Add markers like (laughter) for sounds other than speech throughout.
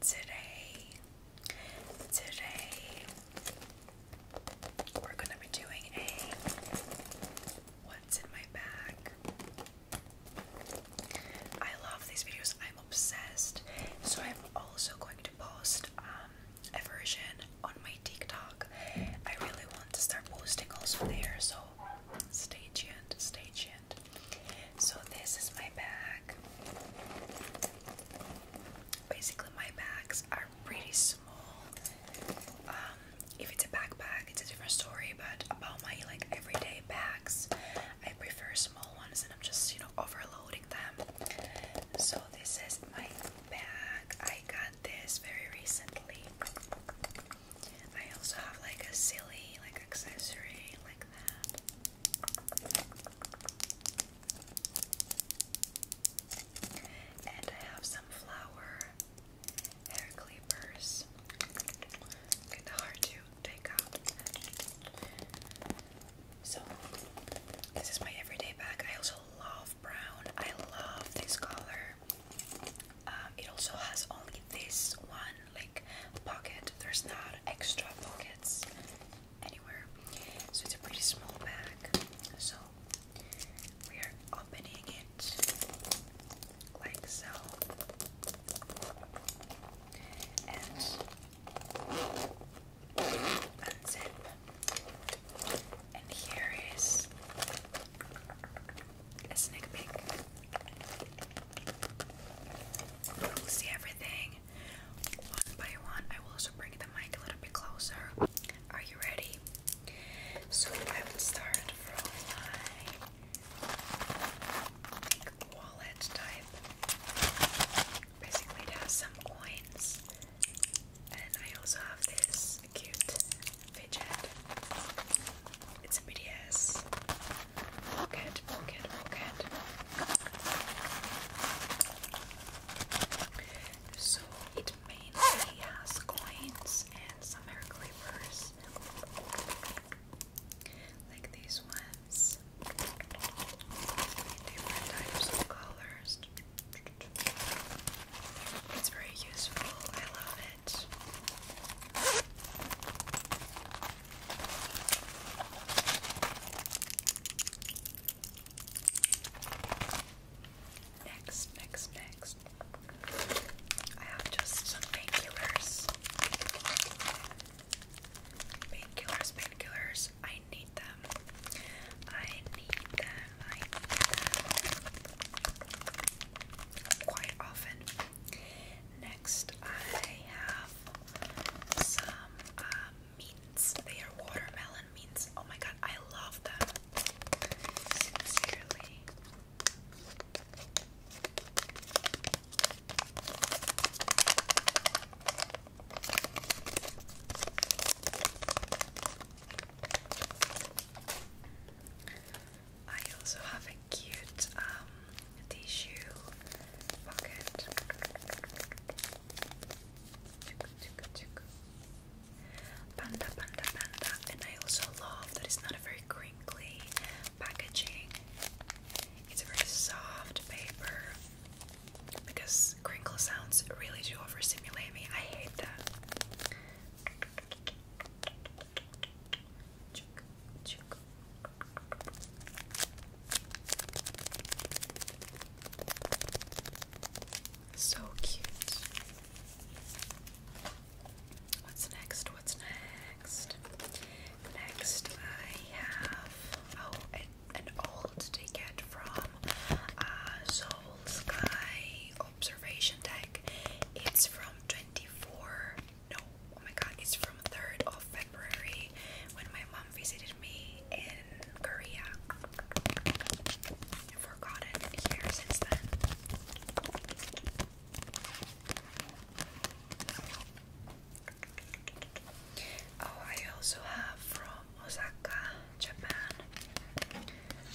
today, today, we're going to be doing a What's in My Bag. I love these videos, I'm obsessed. So, I'm also going to post um, a version on my TikTok. I really want to start posting also there, so stay tuned, stay tuned. So, this is my bag. Basically, my bags are pretty small. Um, if it's a backpack, it's a different story. But about my like everyday bags, I prefer small ones, and I'm just you know overloading them. So this is my bag. I got this very recently. I also have like a silly like accessory like and I have some flower hair clippers. Kind of hard to take out. So, this is my everyday bag. I also love brown. I love this color. Um, it also has only this one like pocket. There's not extra pockets anywhere. So it's a pretty small bag. So we are opening it like so. And unzip. And here is a sneak peek. see everything one by one. I will also bring the mic a little bit closer. Are you ready? So I will start from my wallet type. Basically, it have some coins, and I also have this cute fidget. It's a BDS. Pocket, pocket, pocket. So it mainly has coins and some hair clippers, like these ones, different types of colors. It's very useful, I love it. Next, next, next. I have just some painkillers. Painkillers, painkillers. I need them. I need them. I need them quite often. Next, I have some um, mints. They are watermelon mints. Oh my god, I love them. Sincerely. I also have a cute um, tissue Panda, panda, panda. And I also love that it's not a very crinkly packaging. It's a very soft paper because crinkle sounds really do overstimulate me. I hate that. So cute. What's next? What's next? Next, I have oh, an, old ticket from uh, Soul Sky Observation Deck. It's from 24. No, oh my god, it's from 3rd of February when my um, visited me in Korea. i forgotten here since then. Oh, I also have from Osaka, Japan.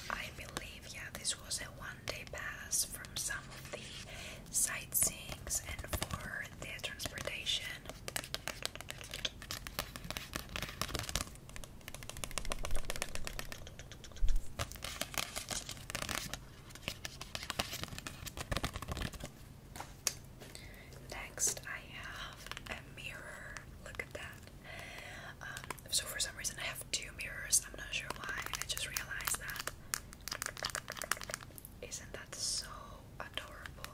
I believe, yeah, this was a one-day pass from some of the sightseeing and for the transportation. Next, I have a mirror. Look at that. Um, so, for some reason, I have two mirrors. I'm not sure why. I just realized that. Isn't that so adorable?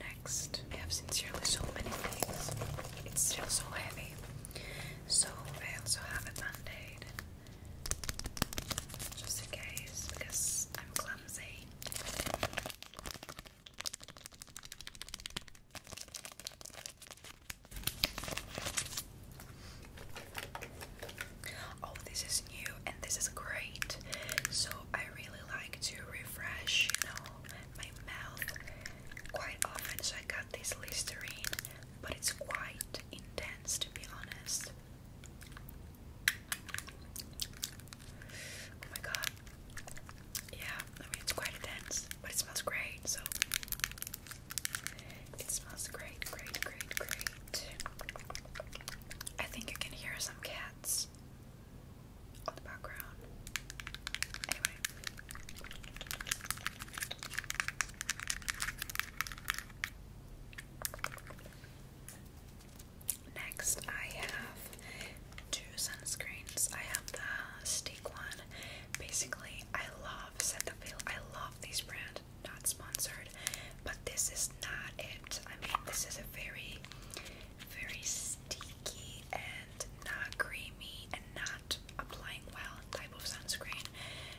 Next, I have sincerely so many things. It's still so heavy. So I also have a band Just in case, because I'm clumsy. Oh, this is new and this is great. So I really like to refresh, you know, my mouth quite often, so I got this Listerine, but it's quite intense to be honest. Oh my god. Yeah, I mean it's quite intense, but it smells great, so it smells great, great, great, great. I think you can hear some cats on the background. Anyway. Next, I have two sunscreens. I have the Stick one. Basically, I love Set the Veil. I love this brand, not sponsored, but this is not it. I mean, this is a very very sticky and not creamy and not applying well type of sunscreen,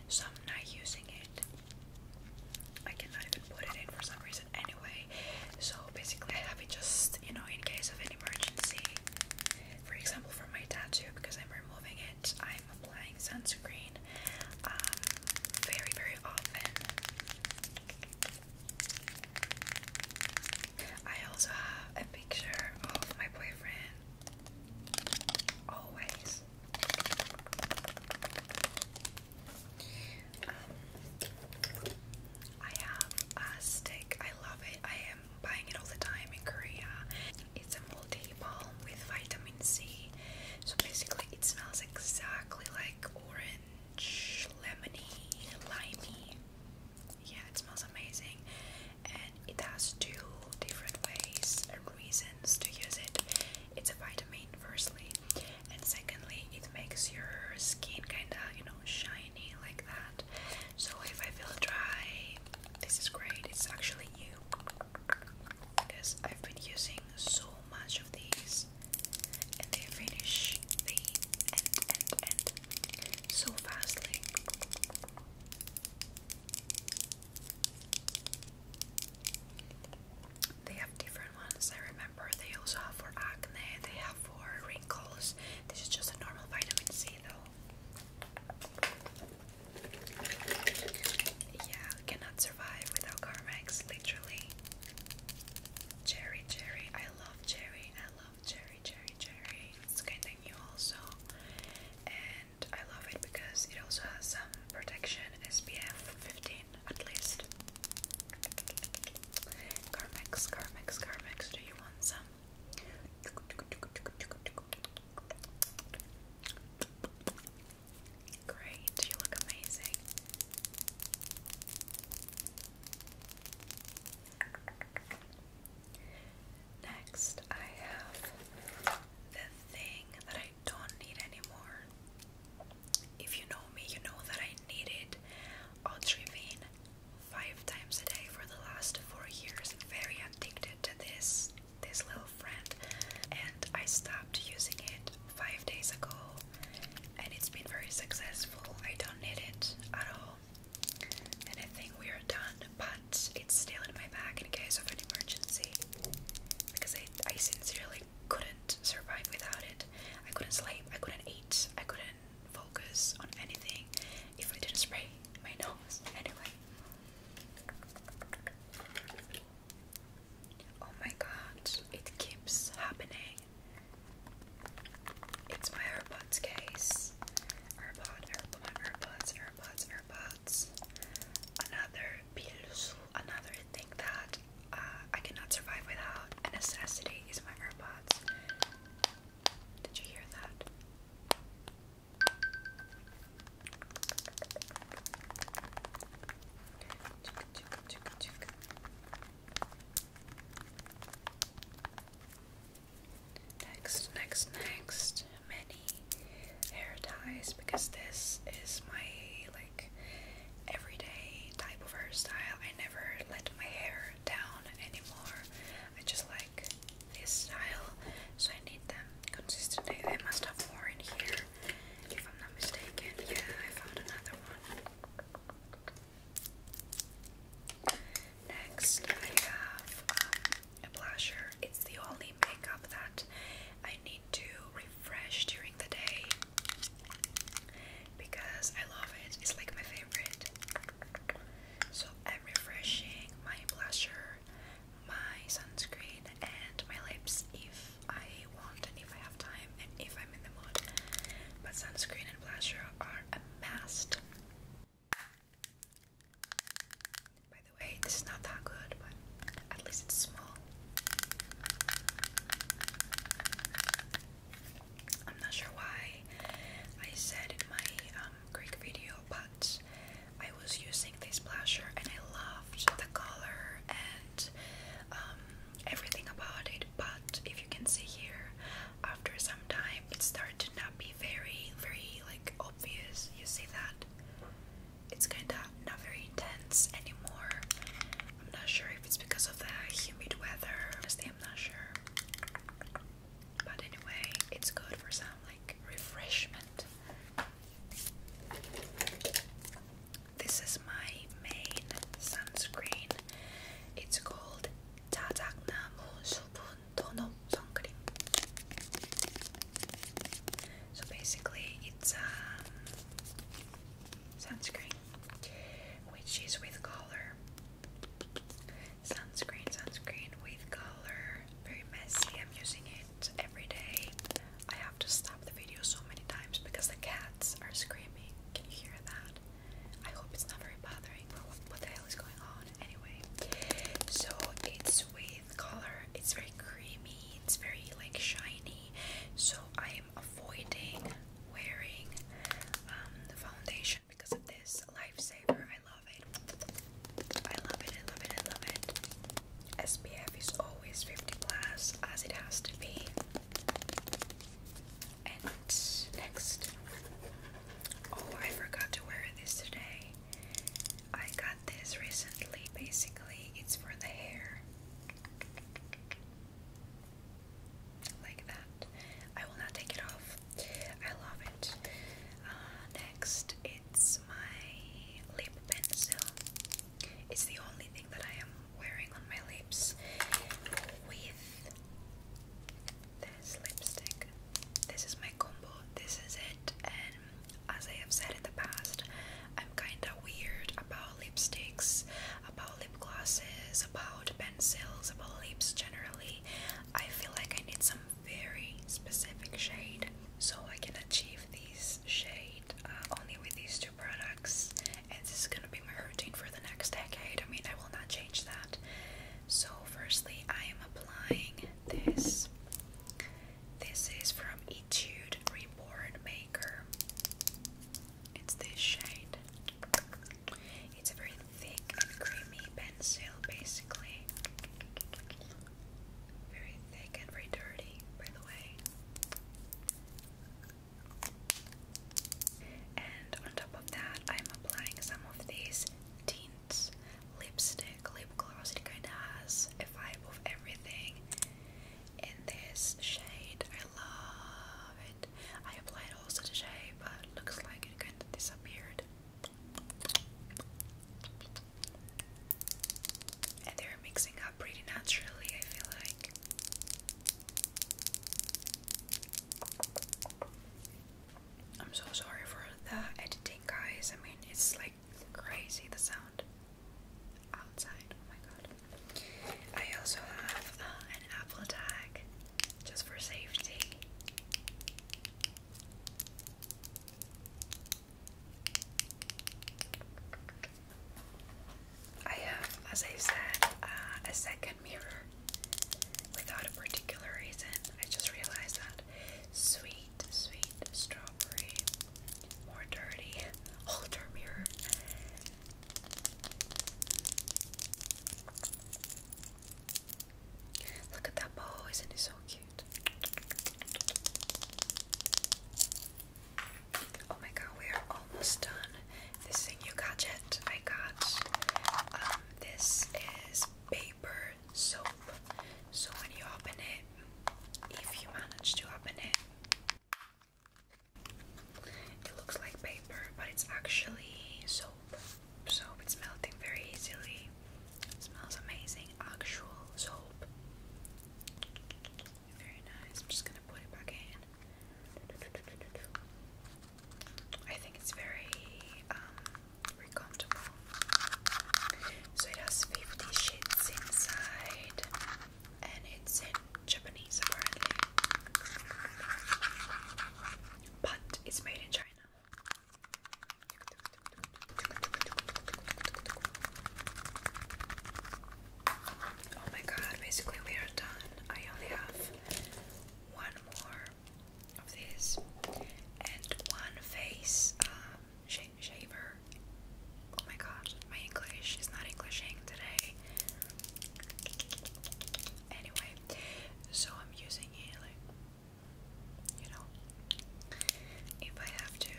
so I'm not using it. I cannot even put it in for some reason anyway. So basically, I have it just you know in case of an emergency. For example, for my tattoo because I'm removing it, I'm applying sunscreen um, very very often. I also have a picture of my boyfriend. Always. Um, I have a stick. I love it. I am buying it all the time in Korea. It's a multi balm with vitamin C. So basically, it smells exactly like orange, lemony, limey yeah, it smells amazing, and it has two different ways and reasons to use it. It's a vitamin, firstly, and secondly, it makes your skin kinda, you know, shiny like that. So if I feel dry, this is great. It's actually new because I've been using so much of these, and they finish the so fastly. They have different ones, I remember. They also have for acne, they have for wrinkles. This is just a normal vitamin C, though. Yeah, cannot survive without Carmex, literally. Cherry, cherry. I love cherry. I love cherry, cherry, cherry. It's kind of new also, and I love it because it also has some protection SPF 15 at least. Carmex, Carmex, Carmex. Do you want some? Great, you look amazing. Next, I have the thing that I don't need anymore. If you know me, you know that I needed Ultravine five times a day for the last four years. Very addicted to this this little friend, and I stopped using it five days ago, and it's been very successful. I don't need it at all. And I think we are done, but it's still in my bag in case of an emergency. Because I, I sincerely couldn't survive without it. I couldn't sleep, I couldn't eat, I couldn't focus on anything if I didn't spray my (laughs) nose. Anyway. Oh my god, it keeps happening. It's my AirPods case. AirPod, AirPod, my AirPods, AirPods, AirPods. Another pills, another thing that uh, I cannot survive without. A necessity is my AirPods. Did you hear that? Next, next, next, many hair ties because this is my like everyday type of hairstyle. I never let my hair down anymore. I just like this style, so I need them consistently. I must have more in here, if I'm not mistaken. Yeah, I found another one. Next, I have um, a blusher. It's the only makeup that I need to refresh during the day because I love it. It's like my favorite. So I'm refreshing my blusher, my sunscreen, and my lips if I want and if I have time and if I'm in the mood. But sunscreen and blusher are a must by the way, this is not that good, but at least it's small. I'm not sure why I said in my um, Greek video, but I was using this blusher and I loved the color and um, everything about it. But if you can see here, after some time it started to not be very, very like obvious. You see that? It's kinda not very intense anymore. I'm not sure if it's because of the humid weather. Honestly, I'm not sure. But anyway, it's good for some like refreshment. This is my main sunscreen. It's called 짜장나무 수분 Tono Suncream. So basically, it's a um, sunscreen which is with color. Sunscreen, sunscreen with color. Very messy. I'm using it every day. I have to stop the video so many times because the cats are screaming. Can you hear that? I hope it's not very bothering. what the hell is going on? anyway. So it's with color, it's very creamy, it's very like shiny. So I'm avoiding wearing um, the foundation because of this lifesaver. I love it. I love it, I love it, I love it. SPF is always 50 plus as it has to be. And next Oh, I forgot to wear this today. I got this recently. Basically, it's for the hair. Like that. I will not take it off. I love it. Uh, next, it's my lip pencil. It's the only thing that I am wearing on my lips with this lipstick. This is my combo, this is it, and as I have said in the past, I'm kinda weird about lipsticks, about lip glosses, about pencils, about lips generally. I feel like I need some very specific shade, so I can achieve this shade uh, only with these two products, and this is gonna be my routine for the next decade. I mean, I will not change that. So firstly, I am applying this. This is from Etude Reborn Maker. It's this shade. It's a very thick creamy pencil, basically. Very thick and very dirty, by the way. And on top of that, I'm applying some of these tints lipstick, lip gloss. It kind of has a vibe of everything. In this shade, I love it. I applied also the shade, but looks like it kind of disappeared. And they're mixing up pretty naturally, I feel like. I'm so sorry for the editing, guys. I mean, it's like crazy the sound outside. Oh my god. I also have uh, an Apple tag just for safety. I have, as I said, uh, a second mirror without a particular reason. I just realized that Sweet, sweet strawberry. More dirty. Older (laughs) mirror. Look at that bow, isn't it so cute? Oh my god, we are almost done. This thing you got yet? I got um, this is paper soap. So when you open it, if you manage to open it, it looks like paper, but it's actually soap. Soap, it's melting very easily. smells amazing. Actual soap. Very nice. I'm just gonna put it back in. I think it's very um, very comfortable. So it has 50 sheets inside, and it's in Japanese apparently, but it's made in China. Oh my god, basically we are done. I only have one more of this and one face um, shaver. Oh my god, my English is not Englishing today. Anyway, so I'm using it like, you know, if I have to.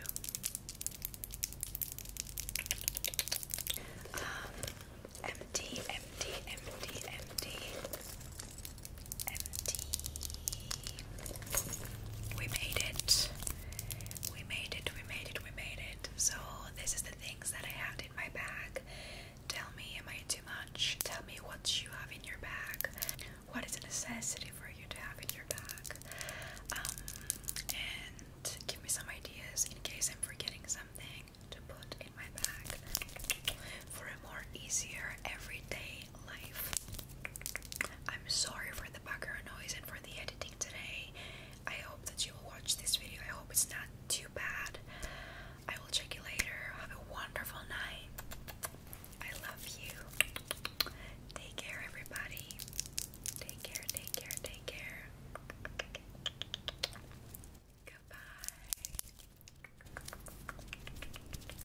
Um, empty, empty, empty, empty empty. We made it. We made it. We made it. We made it. So this is the things that I have in my bag. Tell me, am I too much? Tell me what you have in your bag. What is a necessity for you to have in your bag? Um, and give me some ideas in case I'm forgetting something to put in my bag for a more easier everyday life. I'm sorry for the background noise and for the editing today. I hope that you will watch this video. I hope it's not too bad. I will check you later. Have a wonderful night. I love you. Take care, everybody. Take care, take care, take care. Goodbye.